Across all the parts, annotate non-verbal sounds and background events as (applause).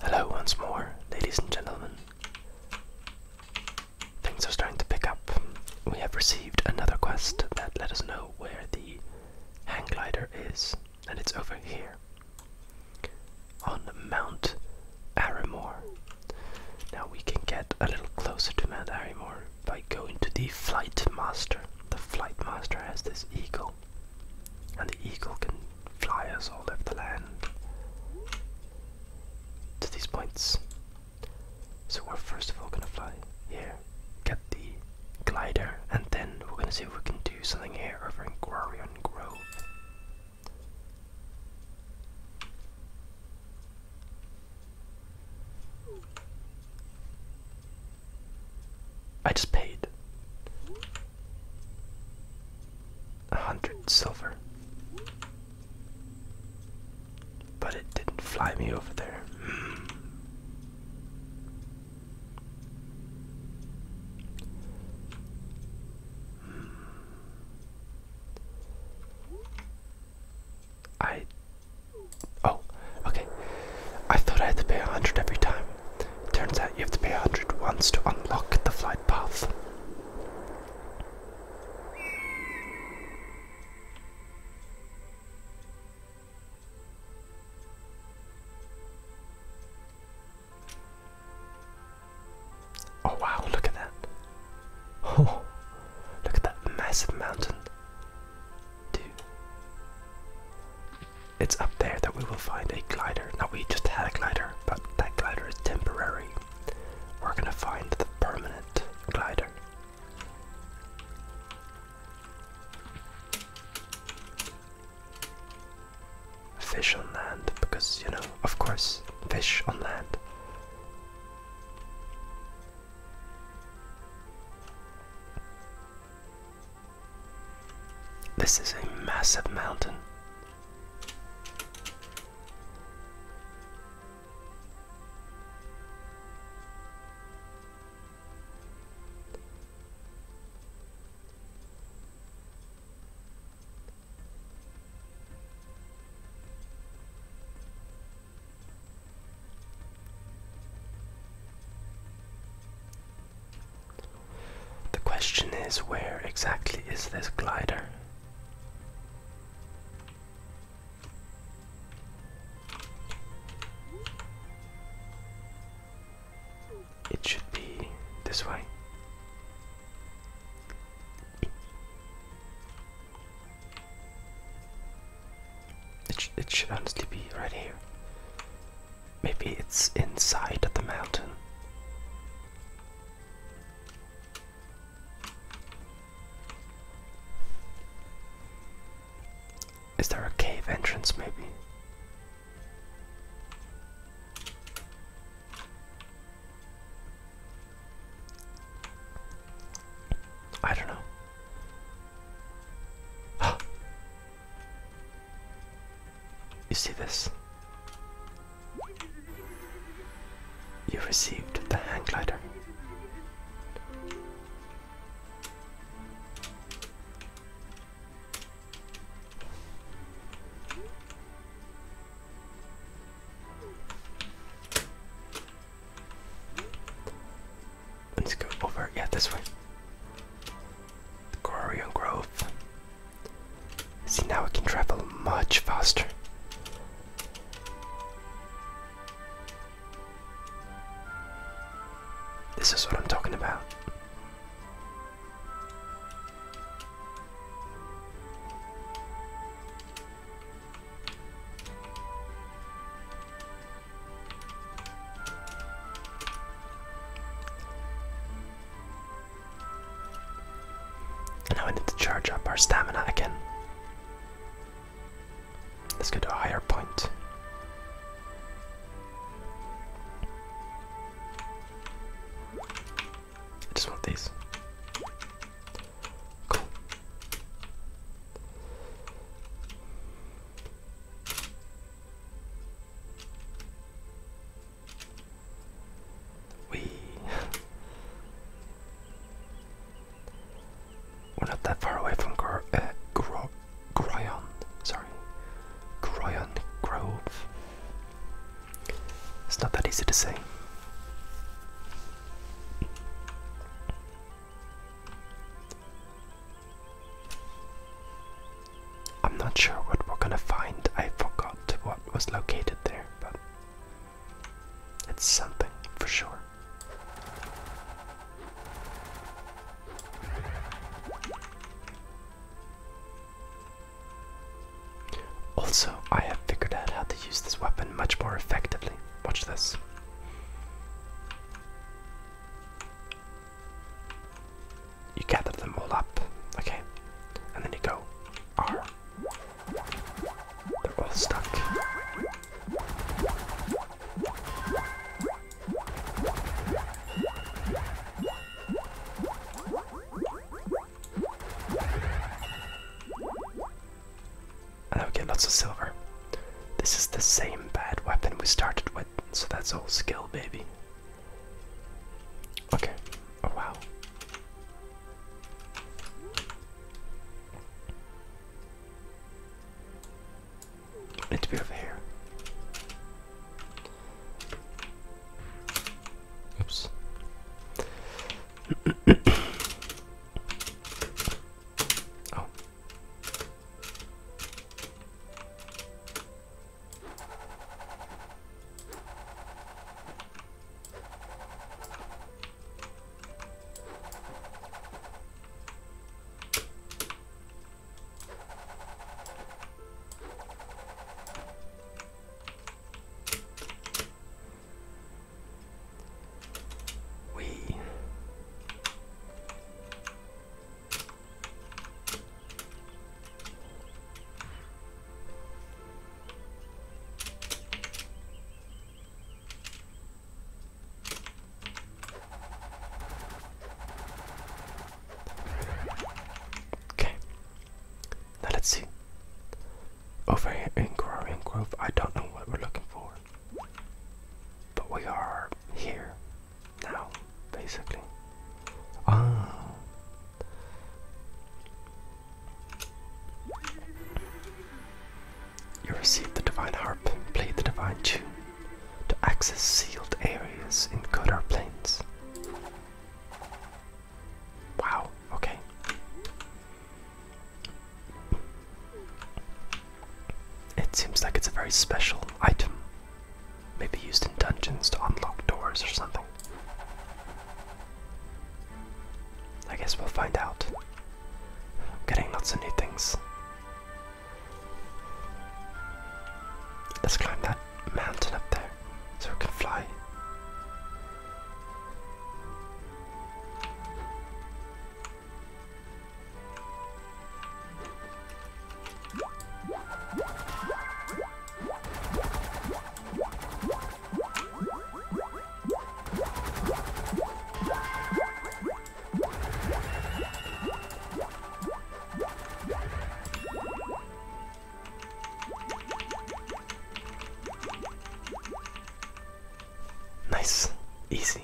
Hello once more, ladies and gentlemen. Things are starting to pick up. We have received another quest that let us know where the hang glider is, and it's over here on Mount Aramore. Now we can get a little closer to Mount Aramore by going to the Flight Master. The Flight Master has this eagle, and the eagle can fly us all over the land to these points. So we're first of all gonna fly here, get the glider, and then we're gonna see if we can do something here over in Glorion Grove. I just paid a hundred silver, but it didn't fly me over there. I. Oh, okay. I thought I had to pay a hundred every time. Turns out you have to pay a hundred once to unlock the flight path. Oh wow, look at that. Oh, look at that massive mountain. It's up there that we will find a glider. Now we just had a glider, but that glider is temporary. We're gonna find the permanent glider fish on land because you know, of course, fish on land. This is a massive mountain. The question is where exactly is this glider? It should be this way. It, sh it should honestly be right here. Maybe it's inside of the mountain. Is there a cave entrance, maybe? I don't know. (gasps) you see this? You received the hang glider. Let's go over, yeah, this way. Glory and Grove. See, now we can travel much faster. This is what I'm talking about now I need to charge up our stamina again. Let's go to a higher point. I just want these. Cool. We (laughs) We're not that far away from Gro uh, Gro Groyon, sorry, Groyon Grove. It's not that easy to say. I'm not sure what we're gonna find. I forgot what was located there, but it's something for sure. Also, I have figured out how to use this weapon much more effectively. Watch this. You gather them all up, okay? And then you go R. They're all stuck. And I get lots of silver. This is the same bad weapon we started with, so that's all skill, baby. Okay. Oh wow. need to be over here. Oops. (coughs) oh. We Okay. Now let's see. Over here in Growing Grove, I don't know what we're looking for. But we are here now, basically. Ah. You receive the Divine Harp, play the Divine Tune to access sealed areas in Kodar Plains. Wow, okay. It seems like it's a very special item. Maybe used in dungeons to unlock doors or something. I guess we'll find out. getting lots of new things. Let's climb that mountain up there so we can fly. Nice, easy.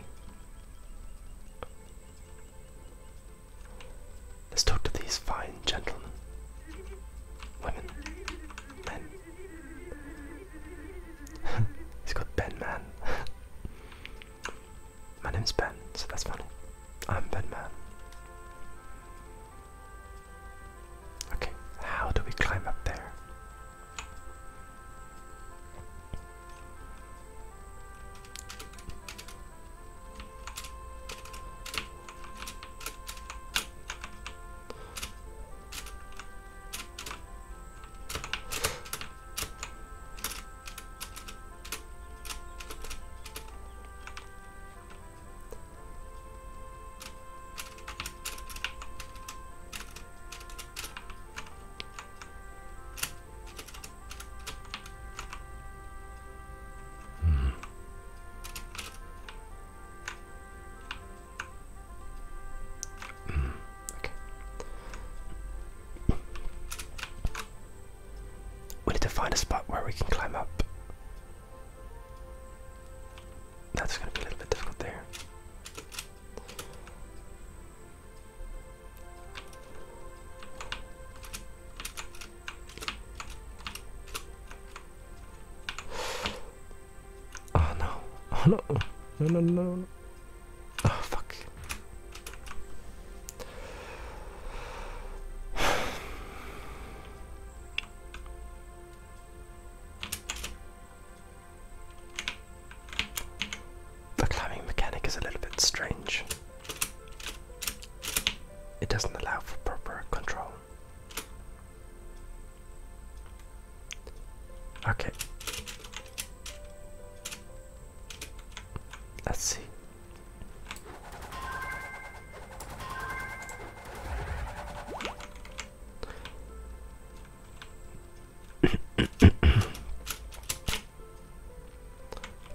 Let's talk to these fine gentlemen, women, men. (laughs) He's got Ben Man. (laughs) My name's Ben, so that's funny. I'm Batman. Okay, how do we climb up there? Hmm. Mm, okay. We need to find a spot where we can climb up. That's going to be a little bit difficult there. Oh no. Oh no. No, no, no. Oh fuck. The climbing mechanic is a little bit strange. It doesn't allow for proper control. Okay. Let's see.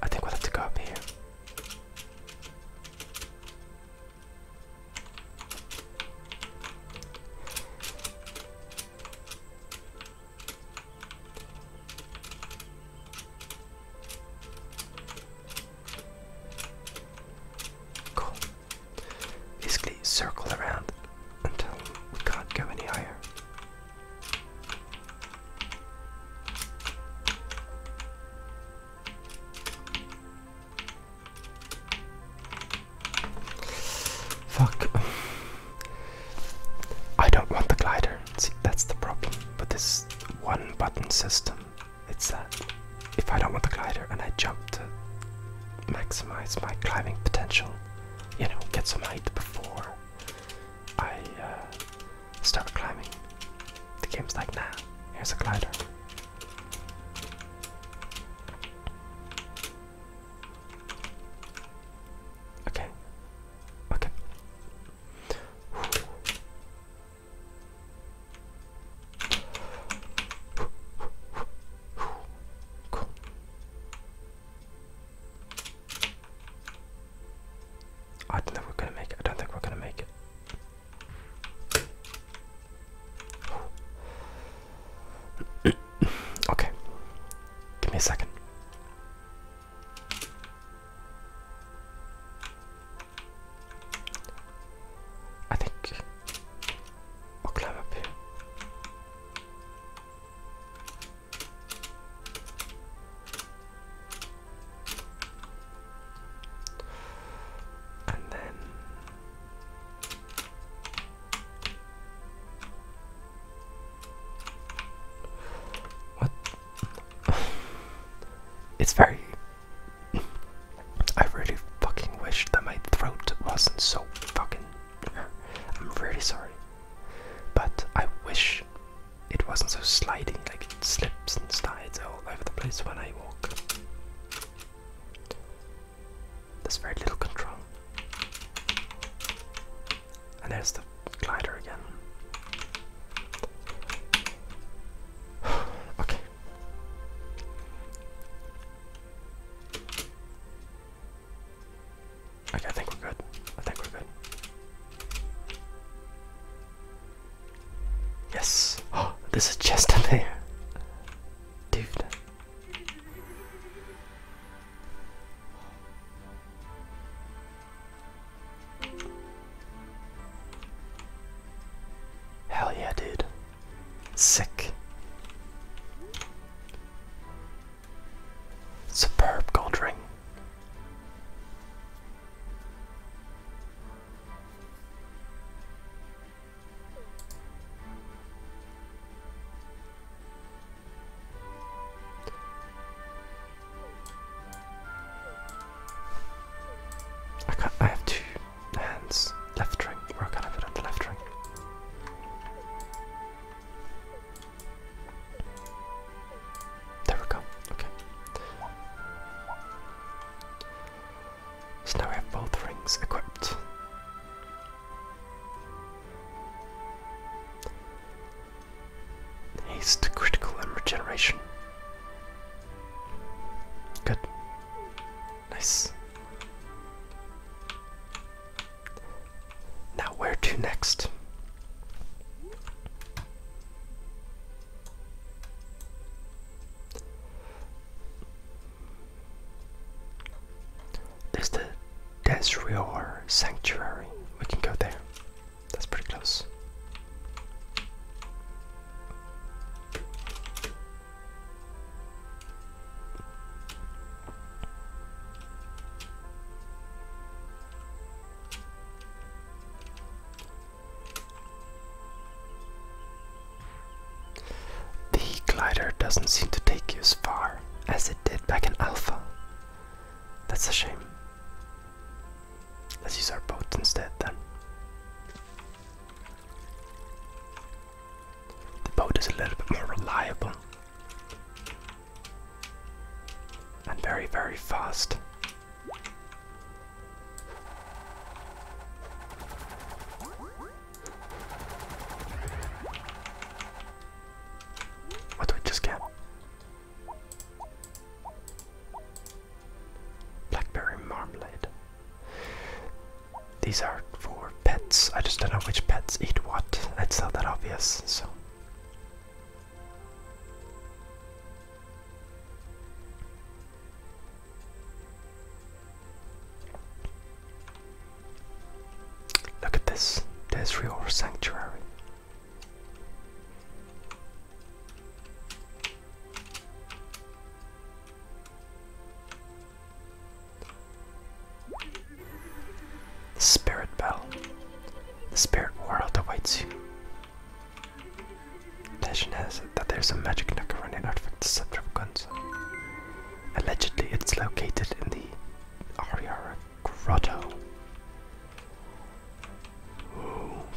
I think we'll have to go up here. Cool. Basically circle around until we can't go any higher. Fuck. (sighs) I don't want the glider. See, that's the problem with this one button system. It's that if I don't want the glider and I jump to maximize my climbing potential, you know, get some height before I uh, start climbing, the game's like, nah, here's a glider. Okay, Okay. Cool. I don't think we're gonna make it. I don't think we're gonna make it. (coughs) okay. Give me a second. I think I'll And then what it's very. I really fucking wish that my throat wasn't so fucking. I'm really sorry. But I wish it wasn't so sliding, like it slips and slides all over the place when I walk. There's very little control. And there's the glider again. (sighs) okay. Okay, I think we're good. I think we're good. Yes! Oh, (gasps) there's a chest in there! Dude. Hell yeah, dude. Sick. Superb gold ring. I have two hands. Left ring. Where can I put on the left ring? There we go. Okay. So now we have both rings equipped. Haste, critical, and regeneration. Good. Nice. Now, where to next? There's the Desrior Sanctuary. We can go there. That's pretty close. The glider doesn't seem to take you as far as it did back in Alpha. That's a shame. Let's use our boat instead then. The boat is a little bit more reliable and very, very fast. What oh, do we just get? Blackberry marmalade. These are for pets. I just don't know which pets eat what. That's not that obvious, so. Look at this. This Rior Sanctuary. The Spirit Bell. The spirit world awaits you. Legend has it that there's a magic nook around an artifact the scepter of Gunsa. Allegedly, it's located in the Ariara grotto.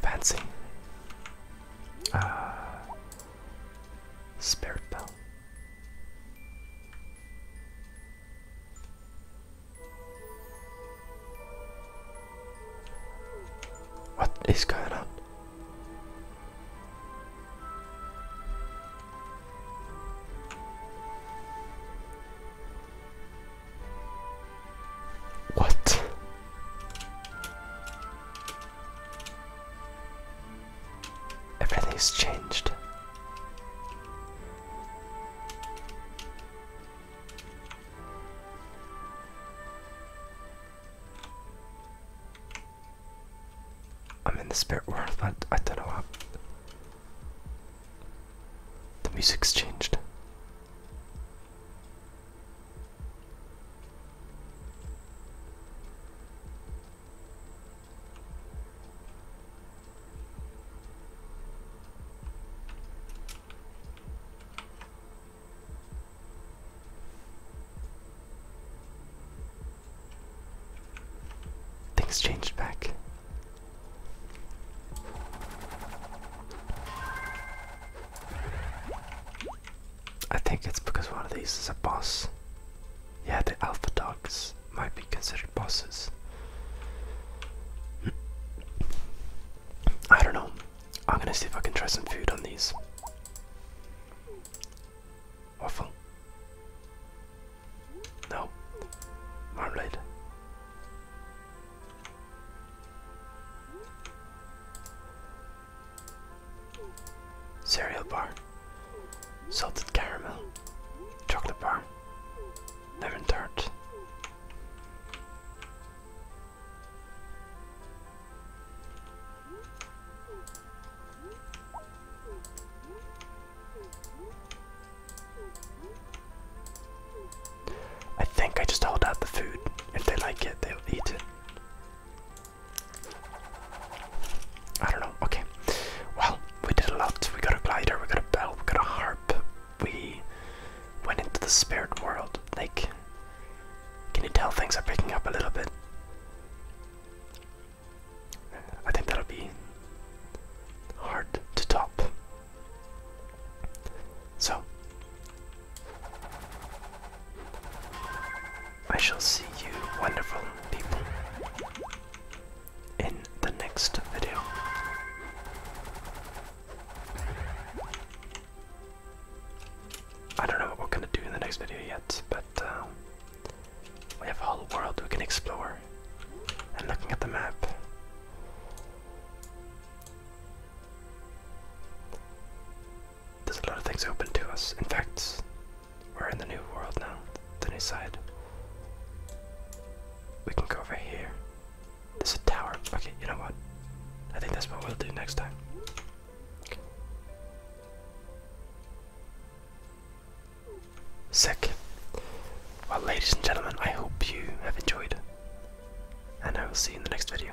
fancy. Uh, spirit Bell. What is going on? What? Everything's changed. I'm in the spirit world, but I don't know what. The music's changed. Things changed back. I think it's because one of these is a boss. Yeah, the alpha dogs might be considered bosses. I don't know. I'm gonna see if I can try some food on these. Waffle. No. Marmalade. Cereal bar. Salted caramel. Chocolate bar. Lemon tart. I think I just hold out the food. If they like it, they'll eat it. I don't know. Okay. Well, we did a lot. We got a glider, we got a bell, we got a harp. We went into the spirit world. Like, can you tell things are picking up a little bit? I think that'll be hard to top. So, I shall see you, wonderful people, in the next video. I don't know what we're gonna do in the next video yet, but uh, we have a whole world we can explore. And looking at the map, there's a lot of things open to us. In fact, we're in the new world now, the new side. We can go over here. There's a tower. Okay, you know what? I think that's what we'll do next time. Well, ladies and gentlemen, I hope you have enjoyed, and I will see you in the next video.